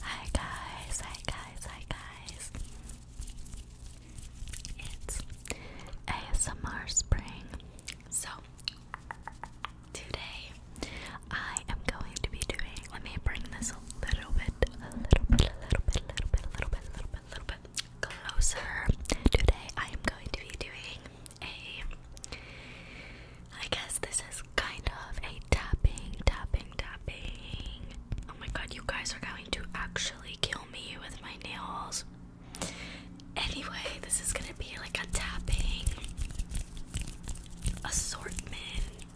Hi guys, hi guys, hi guys. It's ASMR Spring. So, today I am going to be doing, let me bring this a little bit, a little bit, a little bit, a little bit, a little bit, a little bit, closer. Today I am going to be doing a I guess this is kind of a tapping, tapping, tapping. Oh my god, you guys are going to actually kill me with my nails. Anyway, this is gonna be like a tapping assortment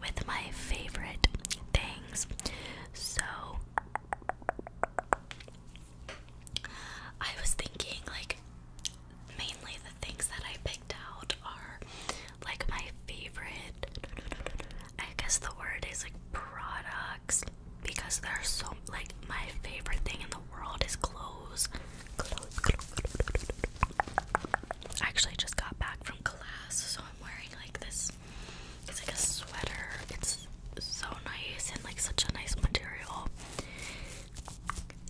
with my favorite things. So, I was thinking, like, mainly the things that I picked out are like my favorite. I guess the word is like products because they are so like my favorite thing in the world is clothes. Clothes, clothes, actually just got back from class, so I'm wearing like this. It's like a sweater. It's so nice and like such a nice material.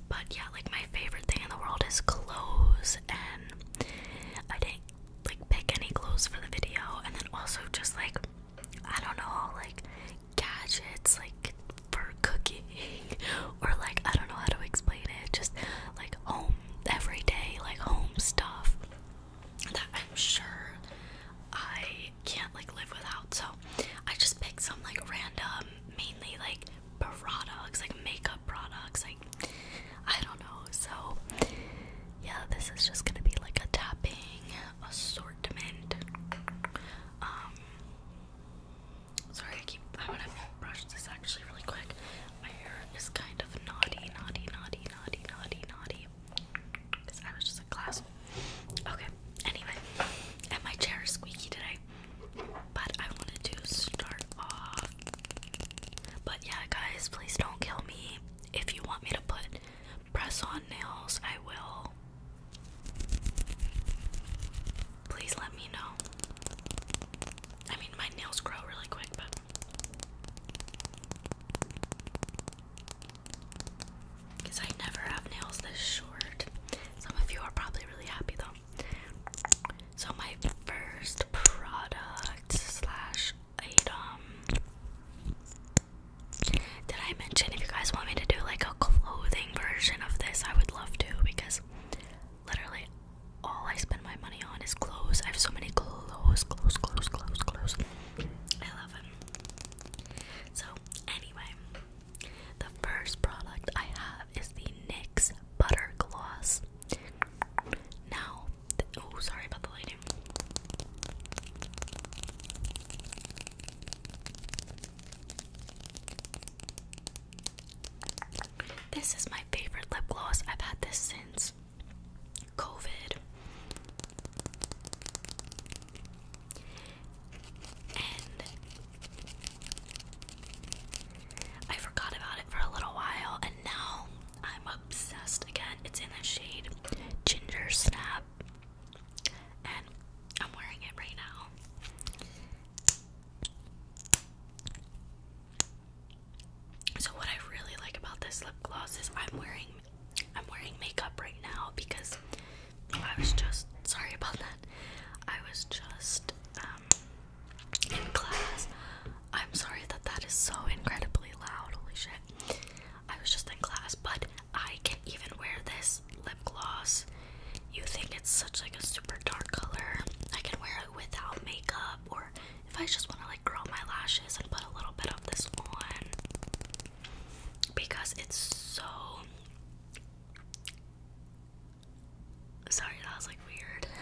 But yeah, like my favorite thing in the world is clothes, and I didn't like pick any clothes for the video, and then also just like I don't know, like gadgets, like for cooking, or like I don't know how to explain it, just like home everyday, like home stuff that I'm sure I can't like live without. So I just picked some like random mainly like products, like makeup products, like I don't know. So yeah, this is just gonna be like a tapping assortment. Um, sorry, I keep. I'm to brush this actually really quick. My hair is kind of naughty, naughty, naughty, naughty, naughty, naughty. Cause I was just in class. Okay. Anyway, and my chair is squeaky today. But I wanted to start off. But yeah, guys, please don't kill me. If you want me to put press on nails, I will. Please let me know. I mean, my nails grow really quick, but. Because I never have nails this some of you are probably really happy though. So my first product slash item. Did I mention if you guys want me to do like a clothing version of this? I would love to because literally all I spend my money on is clothes. I have so many clothes, clothes, clothes, clothes, clothes. I love it. So anyway, the first product I have is the NYX Butter Gloss. Now, oh, sorry about the lighting. This is my favorite lip gloss. I've had this since COVID. I forgot about it for a little while, and now I'm obsessed again. It's in the shade Ginger Snap, and I'm wearing it right now. So what I really like about this lip gloss is I'm wearing I'm wearing makeup right now because I was just sorry about that. I was just um, in class. I'm sorry that that is so incredibly loud. Holy shit. I was just in class, but I can even wear this lip gloss. You think it's such like a super dark color. I can wear it without makeup or if I just want to like curl my lashes and put a little bit of this on because it's so Sorry, that was like weird.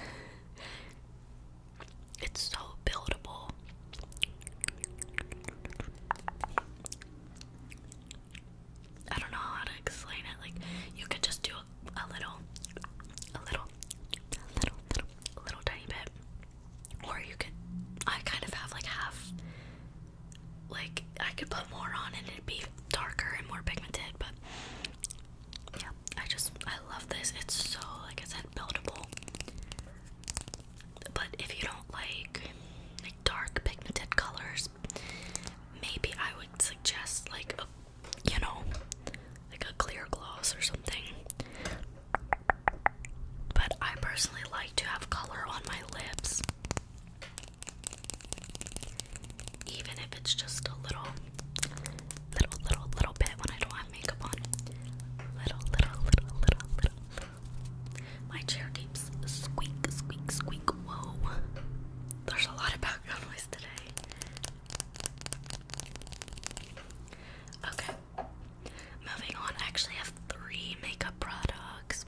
It's so buildable. I don't know how to explain it. Like you could just do a, little, a little, a little, little, little tiny bit, or you could. I kind of have like half, like I could put more on and it'd be darker and more pigmented, but yeah, I just I love this. It's so like I said, buildable. But if you don't like like dark pigmented colors, maybe I would suggest like a you know like a clear gloss or something. But I personally like to have color on my lips. Even if it's just a little, little, little, little bit when I don't have makeup on. Little, little, little, little, little. My chair keeps squeak, squeak, squeak. Whoa. There's a lot of background noise today. Okay, moving on. I actually have three makeup products.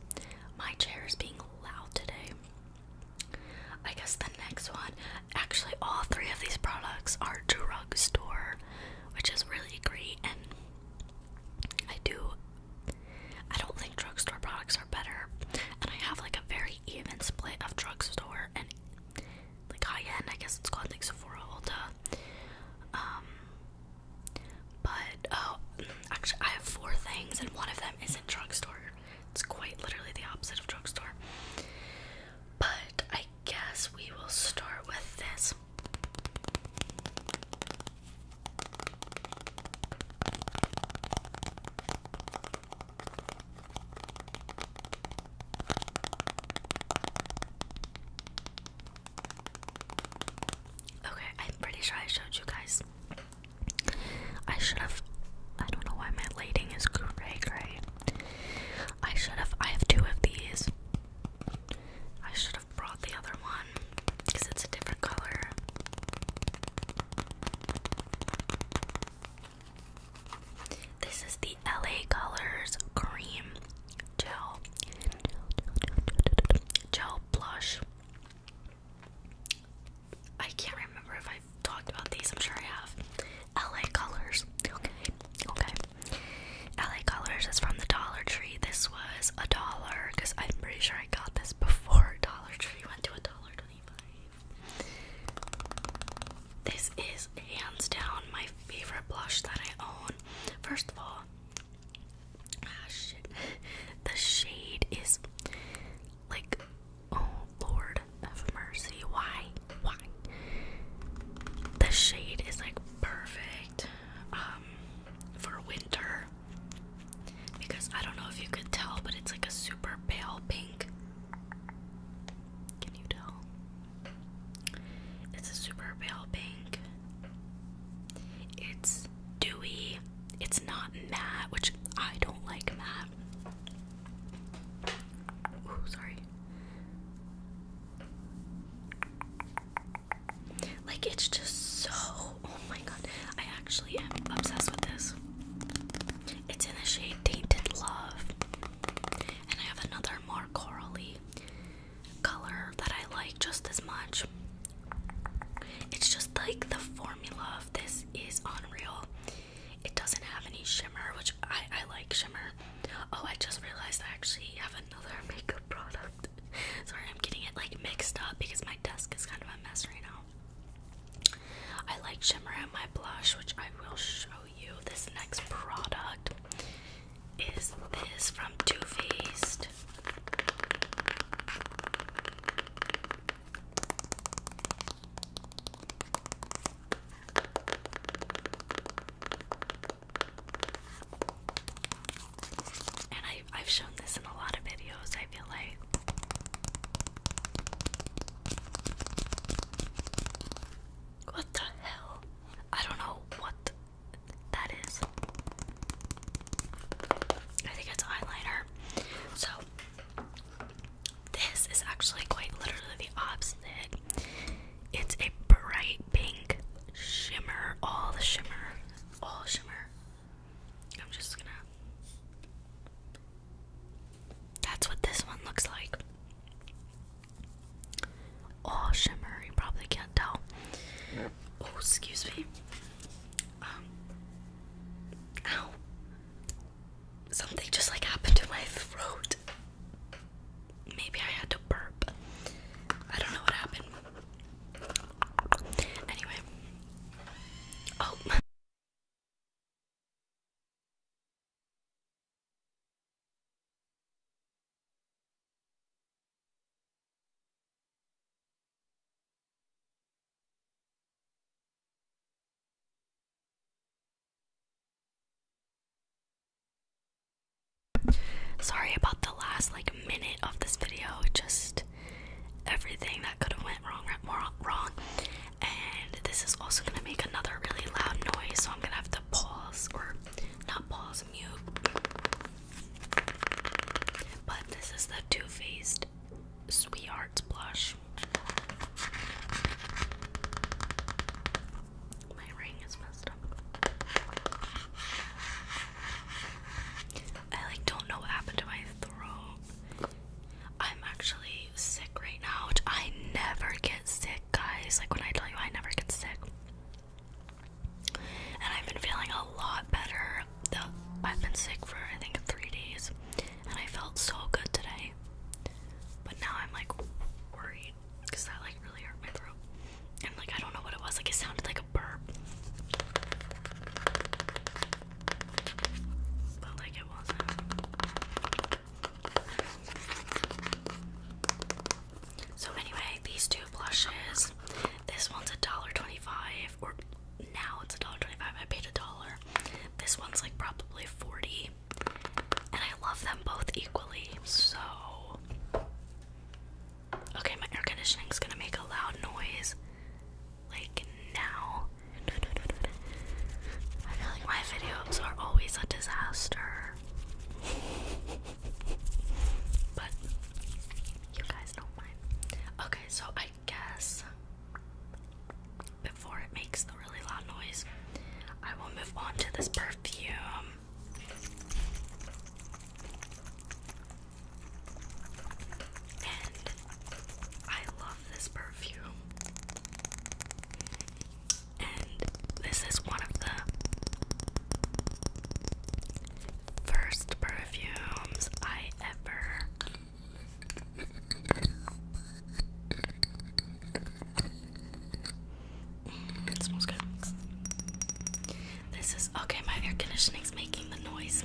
My chair is being loud today. I guess the next one, actually, all three of these products are drugstore, which is really great. And I do, I don't think drugstore products are better. And I have like a very even split of drugstore and like high end, I guess it's called like Sephora Ulta. Um, but oh, actually, I have four things, and one of them isn't drugstore. It's quite literally the opposite of drugstore. But I guess we will start with this. Okay, I'm pretty sure I showed you guys I should have. I don't know why my lighting is gray, gray. I should have. I have two of these. I should have brought the other one because it's a different color. This is the LA Colors Cream Gel. Gel Blush. I can't remember if I've talked about these, I'm sure I have. LA Colors. Okay, okay. LA Colors is from the Dollar Tree. This was a dollar because I'm pretty sure I got this before Dollar Tree went to a dollar twenty-five. This is hands down my favorite blush that I own. First of all, ah, The shade is like, oh Lord of mercy, why? Why? The shade is like perfect um, for winter because I don't know if you could tell, but it's like a super pale pink. Can you tell? It's a super pale pink. It's it's dewy, it's not matte, which I don't like matte. sorry. Like it's just so oh my god. I actually am obsessed with this. It's in the shade Tainted Love. And I have another more corally color that I like just as much. It's just like the formula of this is unreal. It doesn't have any shimmer, which I, I like shimmer. Oh, I just realized I actually have another makeup product. Sorry, I'm getting it like mixed up because my desk is kind of a mess right now. I like shimmer and my blush, which I will show you. This next product is this from Too Faced. And I, I've shown this in a lot of videos, I feel like. What the hell? I don't know what that is. I think it's eyeliner. So this is actually quite literally the opposite. It's a bright pink shimmer, all the shimmer, all shimmer. I'm just gonna. That's what this one looks like. All shimmer, you probably can't tell. Oh, excuse me. Um, Ow. Something just like happened to my throat. Maybe I had to burp. I don't know what happened. Anyway. Oh. Sorry about the last like minute of this video. Just everything that could have went wrong, wrong, wrong. And this is also gonna make another really loud noise, so I'm gonna have to pause or not pause, mute. But this is the 2 Faced Sweetheart's Blush. My ring is messed up. I like don't know what happened to my throat. I'm actually sick right now, which I never get sick, guys. Like when I tell you I never get sick. And I've been feeling a lot better I've been sick for I think three days, and I felt so good today. But now I'm like worried because that like really hurt my throat, and like I don't know what it was. Like it sounded like a burp, but like it wasn't. So anyway, these two blushes. This one's a dollar twenty-five, now it's a dollar twenty-five. I paid a dollar. This one's like probably forty, and I love them both equally. So, okay, my air conditioning's gonna make a loud noise, like now. I feel like my videos are always a disaster, but you guys don't mind. Okay, so I I guess before it makes the really loud noise, I will move on to this perfume. And I love this perfume. And this is one of the first perfumes I ever this is okay, my air conditioning is making the noise.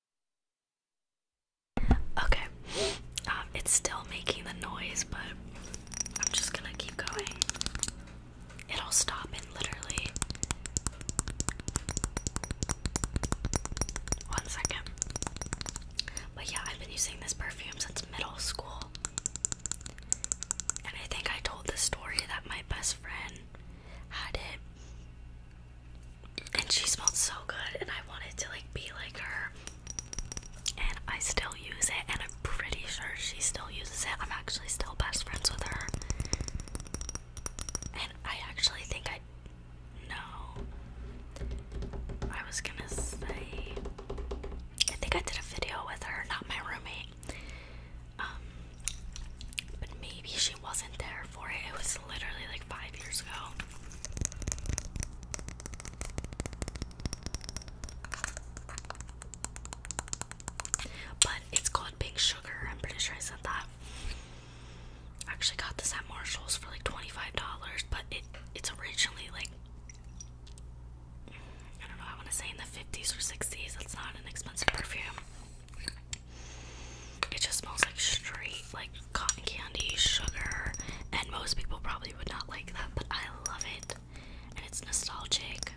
Okay, um, it's still making the noise, but I'm just gonna keep going. It'll stop in literally one second. But yeah, I've been using this perfume since middle school. And I think I told the story that my best friend had it and she smelled so good and I wanted to like be like her and I still use it and I'm pretty sure she still uses it. I'm actually still best friends with her. And I actually think I no. I was gonna say I think I did a video with her, not my roommate. Um but maybe she wasn't there for it. It was literally like five years ago. But it's called Big Sugar. I'm pretty sure I said that. I actually got this at Marshalls for like $25, but it it's originally like I don't know, I want to say in the 50s or 60s. It's not an expensive perfume. It just smells like straight, like cotton candy, sugar, and most people probably would not like that, but I love it, and it's nostalgic.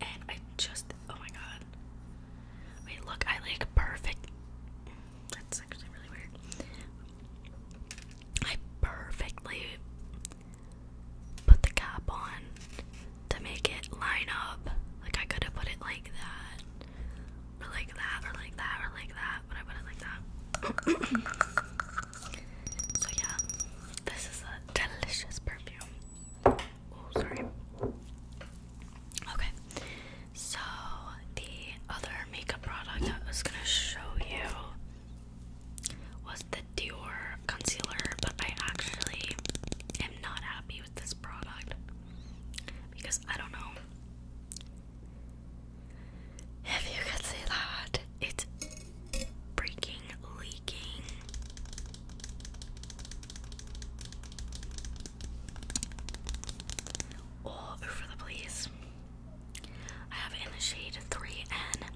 And I just, oh my god. Wait, look, I like perfect. That's actually really weird. I perfectly put the cap on to make it line up. Like I could have put it like that, or like that, or like that, or like that, but I put it like that. so yeah, this is a delicious perfume. Oh, sorry. Okay, so the other makeup product I was gonna show you was the Dior concealer, but I actually am not happy with this product because I don't know if you can see that it's freaking leaking. All over the place. I have in the shade 3N.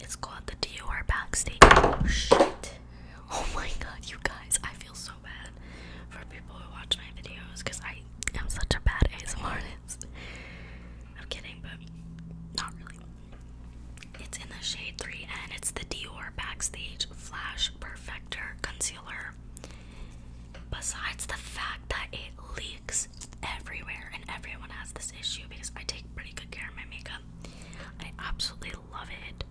It's called the Dior Backstage. Oh shit. Oh my god, you guys, I feel so bad for people who watch my videos because I am such a bad ASMR I'm kidding, but not really. It's in the shade 3 and it's the Dior Backstage Flash Perfector Concealer. Besides the fact that it leaks everywhere and everyone has this issue because I take pretty good care of my makeup, I absolutely I love it.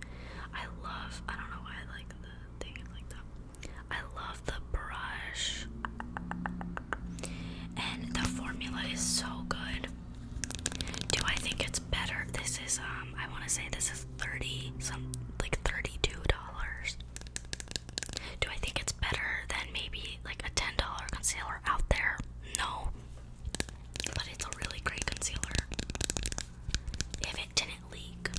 I love, I don't know why I like the thing like that. I love the brush. And the formula is so good. Do I think it's better? This is, um, I want to say this is 30, some, like $32. Do I think it's better than maybe like a $10 concealer out there? No, but it's a really great concealer. If it didn't leak.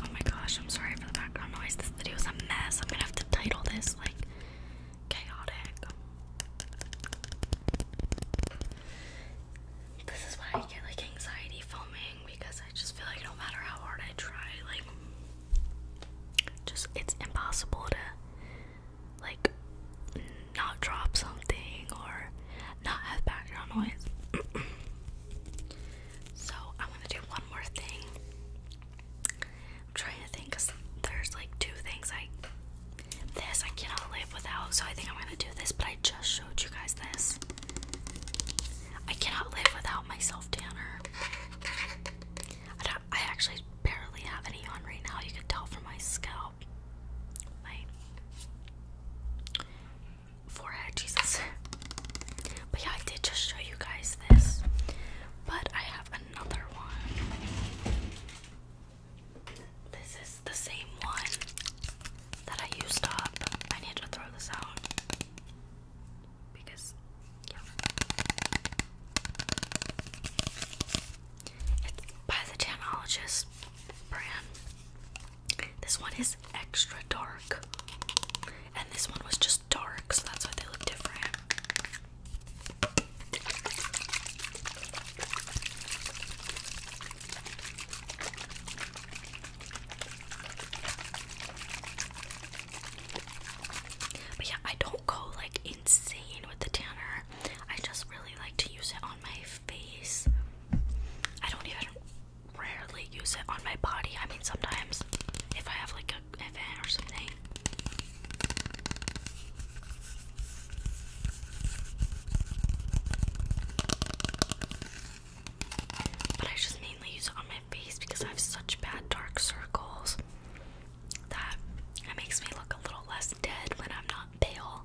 Oh my gosh, I'm sorry for the background noise. This video is a mess. I'm gonna have to title this like chaotic. This is why I get like anxiety filming because I just feel like no matter how hard I try, like just it's impossible to like not drop something or not have background noise. so I want to do one more thing. I'm trying to think because there's like two things I this I cannot live without, so I think I'm gonna do this, but I just showed you guys this. I cannot live without myself, tanner. I, actually barely have any on right now, you can tell from my scalp. My forehead, Jesus. But yeah, I did just show you guys this. But I have another one. This is the same one that I used up. I need to throw this out because, It's by the Tanologist brand. This one is extra dark, and this one was just dark, so that's why they look different. But yeah, I don't go like insane with the tanner. I just really like to use it on my face. I don't even rarely use it on my body. I mean, sometimes if I have like a event or something. But I just mainly use it on my face because I have such bad dark circles that it makes me look a little less dead when I'm not pale.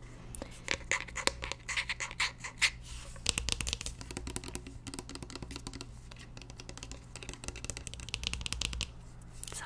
So